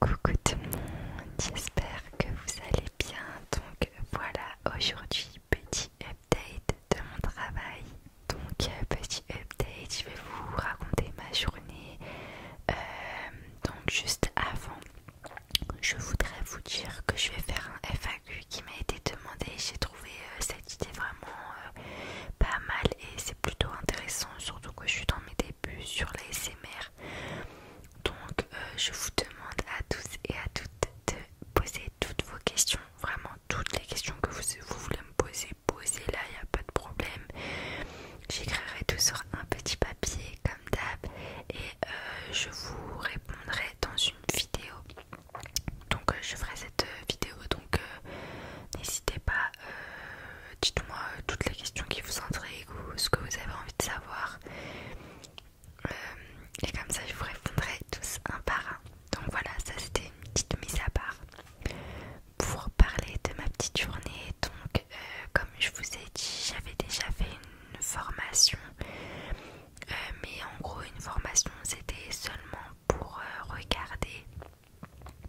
Coucou tout le monde, j'espère que vous allez bien. Donc voilà, aujourd'hui petit update de mon travail. Donc euh, petit update, je vais vous raconter ma journée. Euh, donc juste avant, je voudrais vous dire que je vais faire un FAQ qui m'a été demandé. J'ai trouvé euh, cette idée vraiment pas mal et c'est plutôt intéressant, surtout que je suis dans mes débuts sur les SMR donc euh, je vous demande à tous et à toutes de poser toutes vos questions, vraiment toutes les questions que vous, voulez me poser, posez-la, il n'y a pas de problème. J'écrirai tout sur un petit papier comme d'hab et euh, je vous répondrai dans une vidéo. Donc euh, je ferai cette vidéo, donc n'hésitez pas euh, dites-moi euh, toutes les questions qui vous intriguent ou ce que vous avez envie de savoir. Euh, et comme ça, je vous répondrai tous un par un. Donc voilà, ça c'était une petite mise à part pour parler de ma petite journée. Donc, comme je vous ai dit, j'avais déjà fait une formation, mais en gros, une formation c'était seulement pour regarder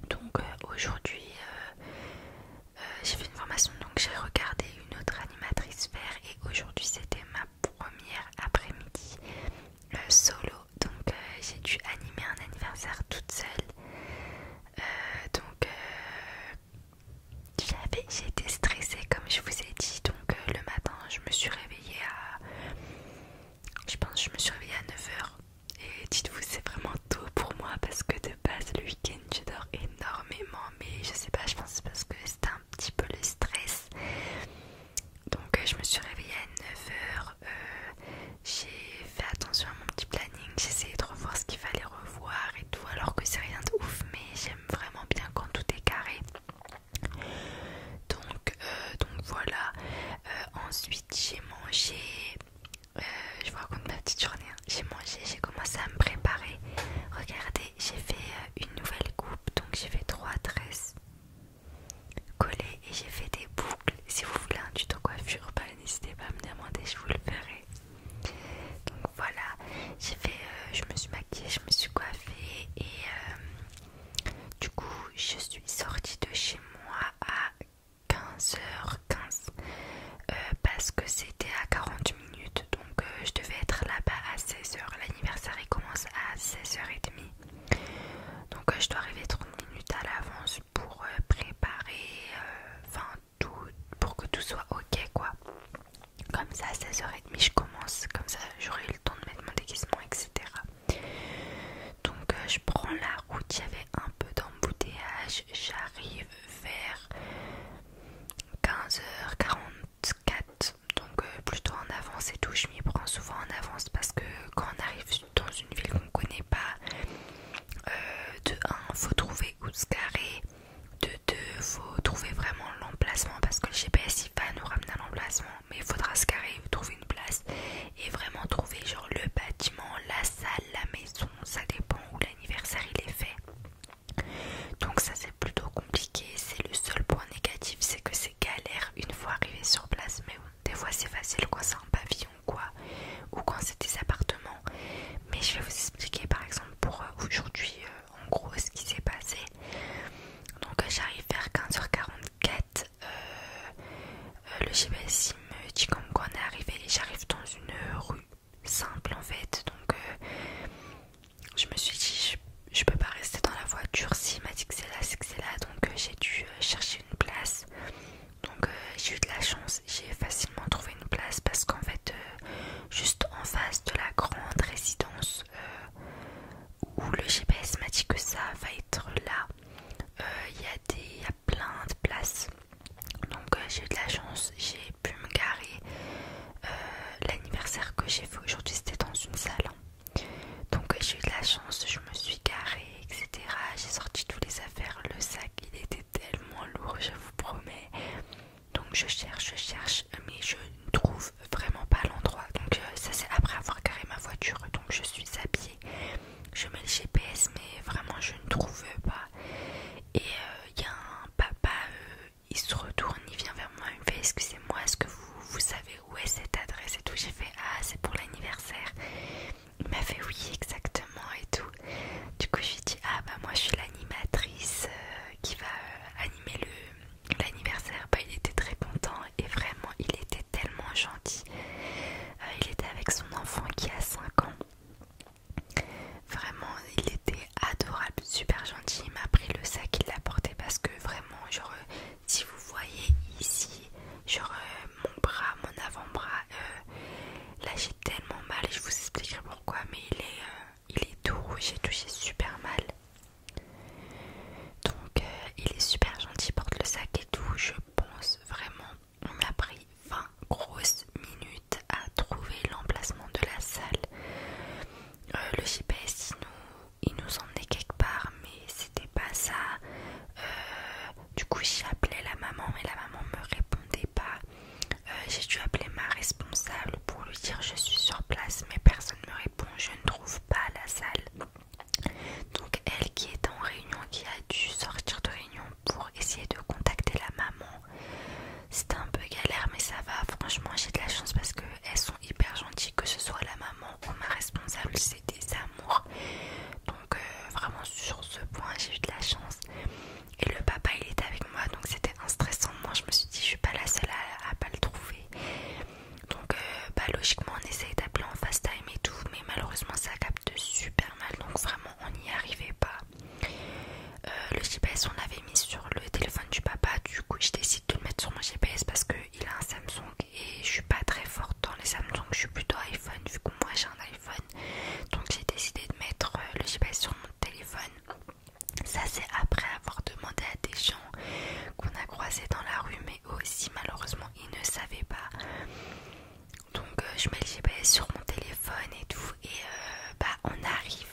donc euh, aujourd'hui, euh, euh, j'ai fait une formation, donc j'ai regardé une autre animatrice faire et aujourd'hui c'était ma première après-midi solo. Donc j'ai dû animer un anniversaire toute seule. donc j'avais, j'ai été stressée comme je vous ai dit. Donc le matin, je me suis réveillée à... Je pense je me suis réveillée à 9h et dites-vous, c'est vraiment tôt pour moi parce que de base, le week-end, je dors énormément. Mais je sais pas, je pense parce que c'était un petit peu le stress. Donc, euh, je me suis réveillée à 9h. Euh, j'ai fait attention à mon petit planning. J'ai essayé de revoir ce qu'il fallait revoir et tout. Alors que c'est rien de ouf, mais j'aime vraiment bien quand tout est carré. Donc, euh, donc voilà. ensuite, j'ai mangé. Euh, je vous raconte ma petite journée. Hein. J'ai mangé, j'ai commencé à me préparer. Regardez, j'ai fait euh, une nouvelle coupe, donc j'ai fait trois tresses collées et j'ai fait des boucles. Si vous voulez un tuto coiffure, n'hésitez pas à me demander, je vous le ferai. Donc voilà, j'ai fait, euh, je me suis maquillée, je me suis coiffée et du coup je suis sortie de chez moi à 15h15 euh, parce que c'était à 40 minutes donc euh, je devais être là-bas à 16h. L'anniversaire commence à 16h30 donc euh, je dois arriver 30 minutes à l'avance pour préparer enfin tout pour que tout soit ok quoi. Comme ça à 16h30 je commence, comme ça j'aurai le temps de mettre mon déguisement etc. Donc je prends la route, il y avait un peu d'embouteillage, j'arrive vers 15h44. Donc euh, plutôt en avance et tout, je m'y prends souvent en avance parce que quand on arrive dans une ville qu'on connaît pas, euh, de 1, faut trouver où se carrer, de 2, faut trouver vraiment l'emplacement parce que le GPS il va nous ramener à l'emplacement, mais il faudra se carrer, trouver une place et vraiment trouver genre le bâtiment, la salle, la maison, ça dépend où l'anniversaire il est fait. Donc ça c'est plutôt compliqué, c'est le seul point négatif, c'est que c'est galère une fois arrivé sur place, mais des fois c'est facile quand c'est un pavillon quoi, ou quand c'est des appartements. Mais je vais vous expliquer par exemple pour euh, aujourd'hui euh, en gros ce qui s'est passé. Donc j'arrive vers 15h44 euh, le GPS me dit comme qu'on est arrivé et j'arrive dans une rue simple en fait. Donc euh, je me suis dit, je, peux pas rester dans la voiture. si m'a dit que c'est là, c'est que c'est là. Donc euh, j'ai dû chercher une place. Donc j'ai eu de la chance, j'ai facilement trouvé une place parce qu'en fait, juste en face de la grande résidence où le GPS m'a dit que ça va être là, il y a il y a plein de places. Donc euh, j'ai eu de la chance, j'ai pu me garer. Euh, l'anniversaire que j'ai fait aujourd'hui c'était dans une salle. Donc euh, j'ai eu de la chance, je me suis garée, etc. J'ai sorti toutes les affaires, le sac il était tellement lourd, je vous promets. Donc je cherche, je cherche, mais je ne trouve vraiment pas l'endroit. Donc ça c'est après avoir garé ma voiture, donc je suis habillée je mets le GPS, mais vraiment je ne trouve pas. Et il euh, y a un papa, euh, il se retourne, il vient vers moi, il me fait Excusez-moi, est-ce que vous, savez où est cette adresse et tout J'ai fait Ah, c'est pour l'anniversaire. Il m'a fait Oui, exactement et tout. Du coup, je lui Ah, bah moi je suis l'animatrice euh, qui va animer animer l'anniversaire. Bah, il était très content et vraiment, il était tellement gentil. Euh, il était avec son enfant qui a 5 ans. Vraiment, il était adorable, super gentil. Il m'a pris le sac, il l'a porté parce que vraiment, genre, euh, si vous voyez ici, genre euh, mon bras, mon avant-bras, là j'ai tellement mal et je vous expliquerai pourquoi, mais il est, il est tout rouge, j'ai touché super mal. Donc il est super gentil, porte le sac et tout pense vraiment. On m'a pris 20 grosses minutes à trouver l'emplacement de la salle. Euh, le GPS nous, il nous emmenait quelque part, mais c'était pas ça. Euh, du coup, j'ai appelé la maman, et la maman me répondait pas. Euh, j'ai dû appeler ma responsable pour lui dire je suis sur place, mais personne me répond, je ne trouve pas la salle. Donc elle qui est en réunion, qui a dû sortir de réunion pour essayer de contacter la maman. C'était un peu galère mais ça va, franchement j'ai de la chance parce qu'elles sont hyper gentilles, que ce soit la maman ou ma responsable, c'est des amours. Donc euh, vraiment sur ce point j'ai eu de la chance. Et le papa il était avec moi donc c'était un stressant. Moi je me suis dit je suis pas la seule à, à pas le trouver. Donc euh, bah, logiquement on essaye d'appeler en fast time et tout mais malheureusement ça capte super mal donc vraiment on n'y arrivait pas. Euh, le GPS on l'avait mis sur le téléphone du papa du coup je décide de le mettre sur mon GPS parce qu'il a un Samsung et je suis pas très forte dans les Samsung, je suis plutôt iPhone vu que moi j'ai un iPhone donc j'ai décidé de mettre euh, le GPS sur mon téléphone. Ça c'est après avoir demandé à des gens qu'on a croisés dans la rue aussi malheureusement il ne savait pas. Donc euh, je mets le GPS sur mon téléphone et tout et euh, bah on arrive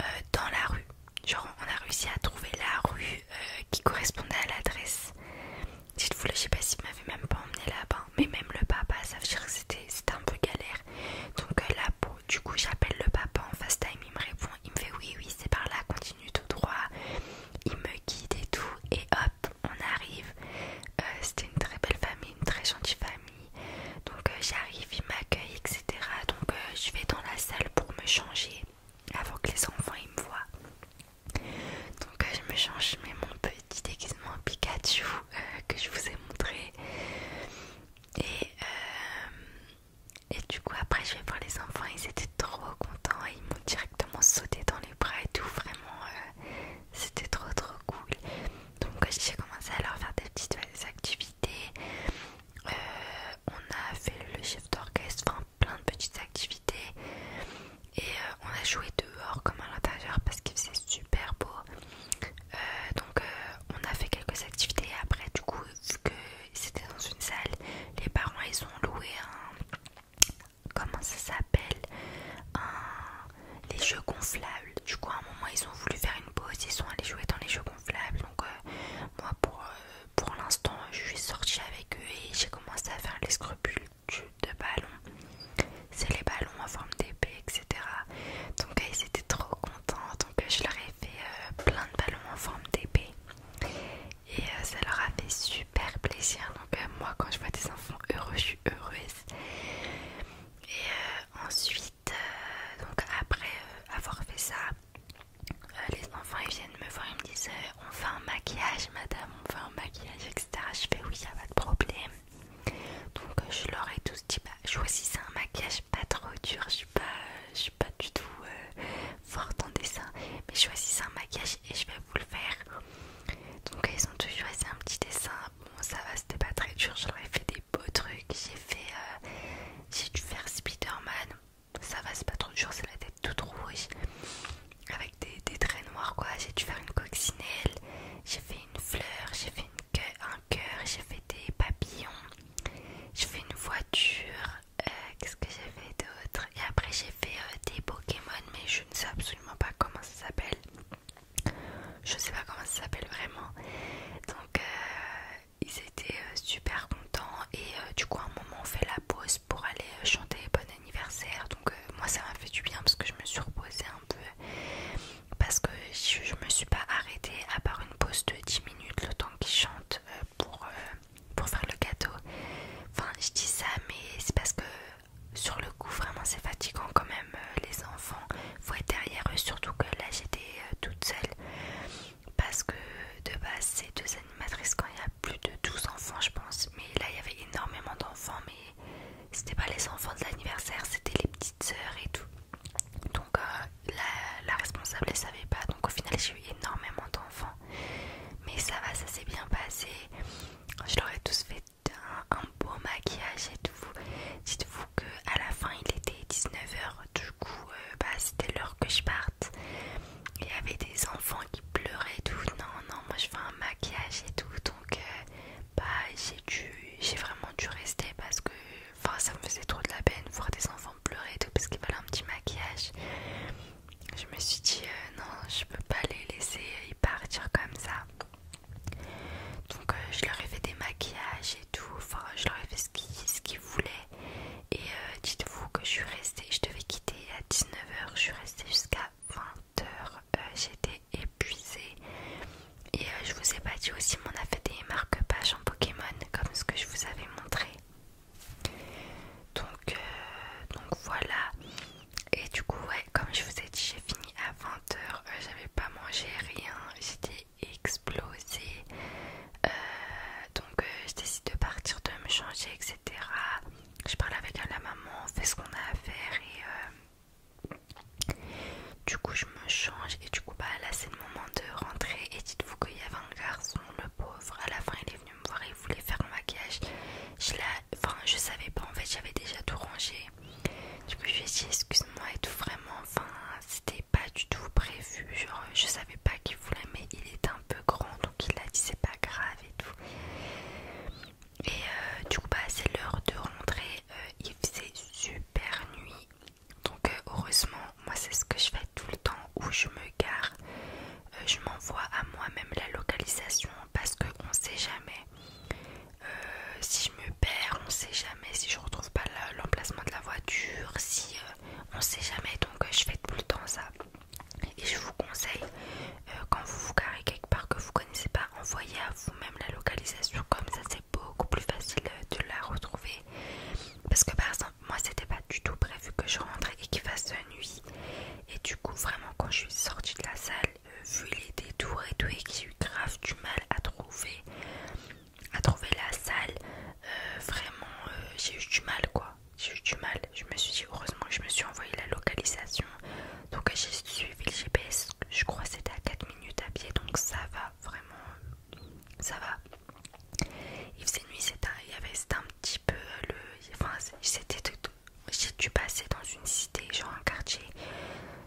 euh, dans la rue. Genre on a réussi à trouver la rue qui correspondait à l'adresse. Dites-vous le GPS il m'avait même pas emmené là-bas, mais même le papa, ça veut dire c'était un peu galère. Donc là là, du coup j'appelle le papa en fast time, il me répond, il me fait oui oui c'est par là continue tout droit, il me guide et tout, et hop, on arrive. Euh, c'était une très belle famille, une très gentille famille. Donc euh, j'arrive, il m'accueille, etc. Donc euh, je vais dans la salle pour me changer avant que les enfants ils me voient. Donc je me change, mais mon petit déguisement Pikachu que je vous ai montré. Et euh, et du coup, après, je vais voir les enfants, ils étaient trop contents et ils m'ont directement sauté dans les bras et tout. Vraiment, euh, c'était trop trop cool. Donc, euh, j'ai commencé à leur faire des petites euh, activités. on a fait le chef d'orchestre, enfin plein de petites activités. Et on a joué dehors comme à l'intérieur parce qu'il faisait super beau. donc, on a fait quelques activités. après, du coup, vu que c'était dans une salle. Les parents ils ont loué un. Comment ça s'appelle un... Les jeux gonflables. Du coup, à un moment, ils ont voulu faire une pause. Ils sont allés jouer dans les jeux gonflables. Donc, euh, moi, pour, euh, pour l'instant, je suis sortie avec eux et j'ai commencé à faire les scrupules de ballons. C'est les ballons en forme d'épée, etc. Donc, euh, ils étaient trop contents. Donc, je leur ai fait plein de ballons en forme d'épée et euh, ça leur a fait super plaisir. Donc, euh, moi, quand je vois des enfants heureux, je suis heureuse. Et euh, ensuite, donc après avoir fait ça, les enfants ils viennent me voir, ils me disent On fait un maquillage, madame, on fait un maquillage, etc. Je fais Oui, y'a pas de problème. Donc, je leur ai tous dit bah, Choisissez un maquillage pas trop dur, pas, je suis pas du tout euh, forte en dessin, mais je choisis un maquillage et je vais vous le faire. Donc ils ont toujours choisi un petit dessin. Bon ça va, c'était pas très dur. J'aurais fait des beaux trucs. J'ai fait, euh, j'ai dû faire Spiderman Ça va, c'est pas trop dur. C'est la tête toute rouge avec des, traits noirs quoi. J'ai dû faire une coccinelle. J'ai fait une fleur. J'ai fait un cœur. J'ai fait des papillons. J'ai fait une voiture. Euh, qu'est-ce que j'ai fait d'autre et après j'ai fait euh, des Pokémon mais je ne sais absolument pas comment ça s'appelle je sais pas comment ça s'appelle vraiment donc euh, ils étaient super contents et du coup à un moment on fait la pause pour aller chanter bon anniversaire donc moi ça m'a fait du bien parce que je me suis reposée un peu parce que je, me suis pas arrêtée à part une pause de 10 minutes le temps qu'ils chantent pour, euh, pour faire le gâteau. Enfin, je dis ça, mais c'est parce que sur le coup, vraiment, c'est fatigant quand même. Euh, les enfants, faut être derrière eux, surtout que là, j'étais euh, toute seule. Parce que de base, c'est deux animatrices quand il y a plus de 12 enfants, je pense. Mais là, il y avait énormément d'enfants, mais c'était pas les enfants de l'anniversaire, c'était les petites sœurs et tout. Donc, la, responsable ne savait pas. Donc au final j'ai eu énormément d'enfants. Mais ça va, ça s'est bien passé. Je leur ai tous fait un, beau maquillage et tout. Dites-vous que à la fin il était 19h. Du coup euh, bah, c'était l'heure que je parte. Il y avait des enfants qui pleuraient tout. Non, non, moi je fais un maquillage et tout. Donc euh, bah, j'ai bah, j'ai vraiment dû rester parce que Enfin, ça me faisait trop de la peine voir des enfants pleurer et tout parce qu'il fallait un petit maquillage. Je me suis dit, euh, non, je peux pas les laisser euh, y partir comme ça. Donc, euh, je leur ai fait des maquillages et tout. Enfin, je leur ai fait ce qu'ils voulaient. Et dites-vous que je suis restée, je devais quitter à 19h, je suis restée jusqu'à 20h. J'étais épuisée. Et je vous ai pas dit aussi, mais on a fait des marque-pages en Pokémon, comme ce que je vous avais montré. Euh, donc, voilà. Et du coup, ouais, comme je vous ai dit, j'ai fini à 20h. Euh, j'avais pas mangé rien. J'étais explosée. Euh, donc, je décide de partir, de me changer, etc. Je parle avec la maman, on fait ce qu'on a à faire. Et du coup, je change et du coup bah là c'est le moment de rentrer et dites-vous qu'il y avait un garçon le pauvre à la fin il est venu me voir il voulait faire un maquillage je enfin je savais pas en fait j'avais déjà tout rangé du coup je lui dit excuse-moi et tout vraiment enfin c'était pas du tout prévu genre je savais pas qu'il voulait mais il est un peu grand donc il a dit c'est pas grave et tout et euh, du coup bah c'est l'heure de rentrer euh, il faisait super nuit donc euh, heureusement, moi c'est ce que je fais tout le temps où je me gare. Euh, je m'envoie à moi-même la localisation parce qu'on sait jamais. Euh, si je me perds, on sait jamais. Si je ne retrouve pas l'emplacement de la voiture, si on sait jamais. Donc je fais tout le temps ça. Et je vous conseille, quand vous vous garez quelque part que vous ne connaissez pas, envoyez à vous-même la localisation. Comme ça, c'est beaucoup plus facile de la retrouver. Parce que par exemple, moi c'était pas du tout prévu que je rentre et qu'il fasse nuit. Et du coup, vraiment, quand je suis sortie de la salle, euh, vu les détours et tout, et que j'ai eu grave du mal à trouver, à trouver la salle, euh, vraiment, euh, j'ai eu du mal quoi. J'ai eu du mal. Je me suis dit, heureusement je me suis envoyé la localisation. Donc j'ai suivi le GPS. Je crois que c'était à 4 minutes à pied. Donc ça va, vraiment, ça va. Il faisait nuit, c'était un petit peu euh, le. Enfin, J'ai passer dans une cité, genre un quartier.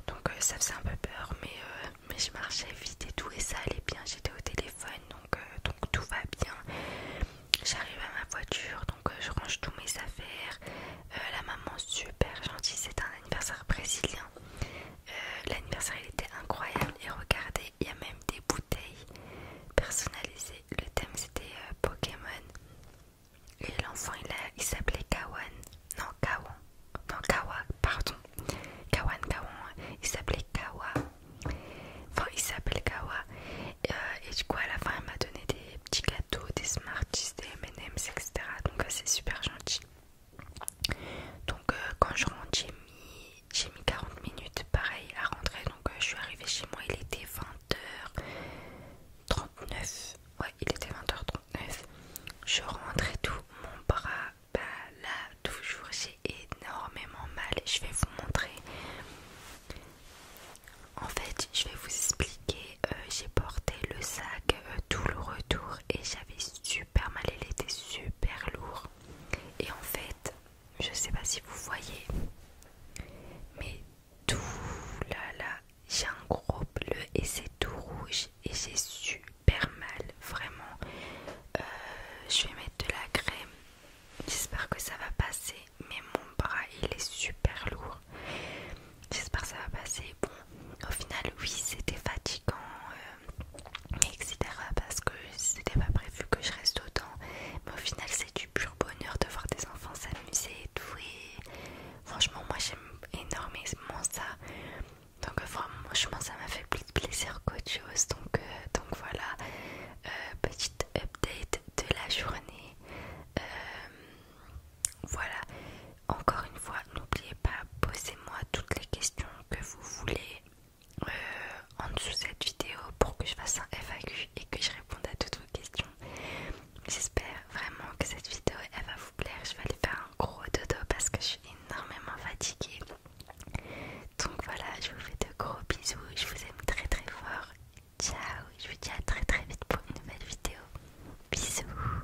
Donc euh, ça faisait un peu peur, mais, euh, mais je marchais vite et tout, et ça allait bien. J'étais au téléphone, donc, donc tout va bien. J'arrive à ma voiture, donc je range tous mes affaires. la maman, super gentille, c'est un anniversaire brésilien, euh, l'anniversaire était incroyable et regardez, il y a même des bouteilles personnalisées. Le thème c'était euh, Pokémon et l'enfant il, s'appelait Kawan. Non, Kawan. Non, Kawa, pardon. Kawan, Kawan. Il s'appelait Kawa. Enfin, il s'appelle Kawa. Euh, et, du coup, à la fin, elle m'a donné des petits gâteaux, des Smarties, des MM's, etc. Donc, c'est super gentil. Donc euh, quand je rentre j'ai mis, j'ai mis 40 minutes pareil à rentrer donc euh, je suis arrivée chez moi il était 20h39 ouais il était 20h39 je rentrais tout mon bras bah là toujours j'ai énormément mal je vais vous montrer en fait je vais vous expliquer euh, j'ai porté le sac tout le retour et j'avais super mal, il était super lourd. Et en fait, je sais pas si vous voyez, mais tout là là, j'ai un gros bleu et c'est tout rouge et j'ai super mal, vraiment. Euh, je vais mettre de la crème, j'espère que ça va passer, mais mon bras il est super lourd. J'espère que ça va passer bon, au final, oui, c'était fatigant, euh, etc. Parce que c'était pas prévu que je reste autant, mais au final, c'est du pur bonheur de voir des enfants s'amuser et tout. franchement, moi j'aime énormément ça, donc franchement, ça m'a fait plus de plaisir qu'autre chose. Donc, euh, donc voilà, euh, petite update de la journée. voilà, encore une fois, n'oubliez pas, posez-moi toutes les questions que vous voulez euh, en dessous de cette vidéo pour que je fasse un FAQ et que je réponde à toutes vos questions. J'espère vraiment que cette vidéo elle va vous plaire. Je vais aller faire un gros dodo parce que je suis énormément fatiguée. Donc voilà, je vous fais de gros bisous. Je vous aime très très fort. Ciao, je vous dis à très très vite pour une nouvelle vidéo. Bisous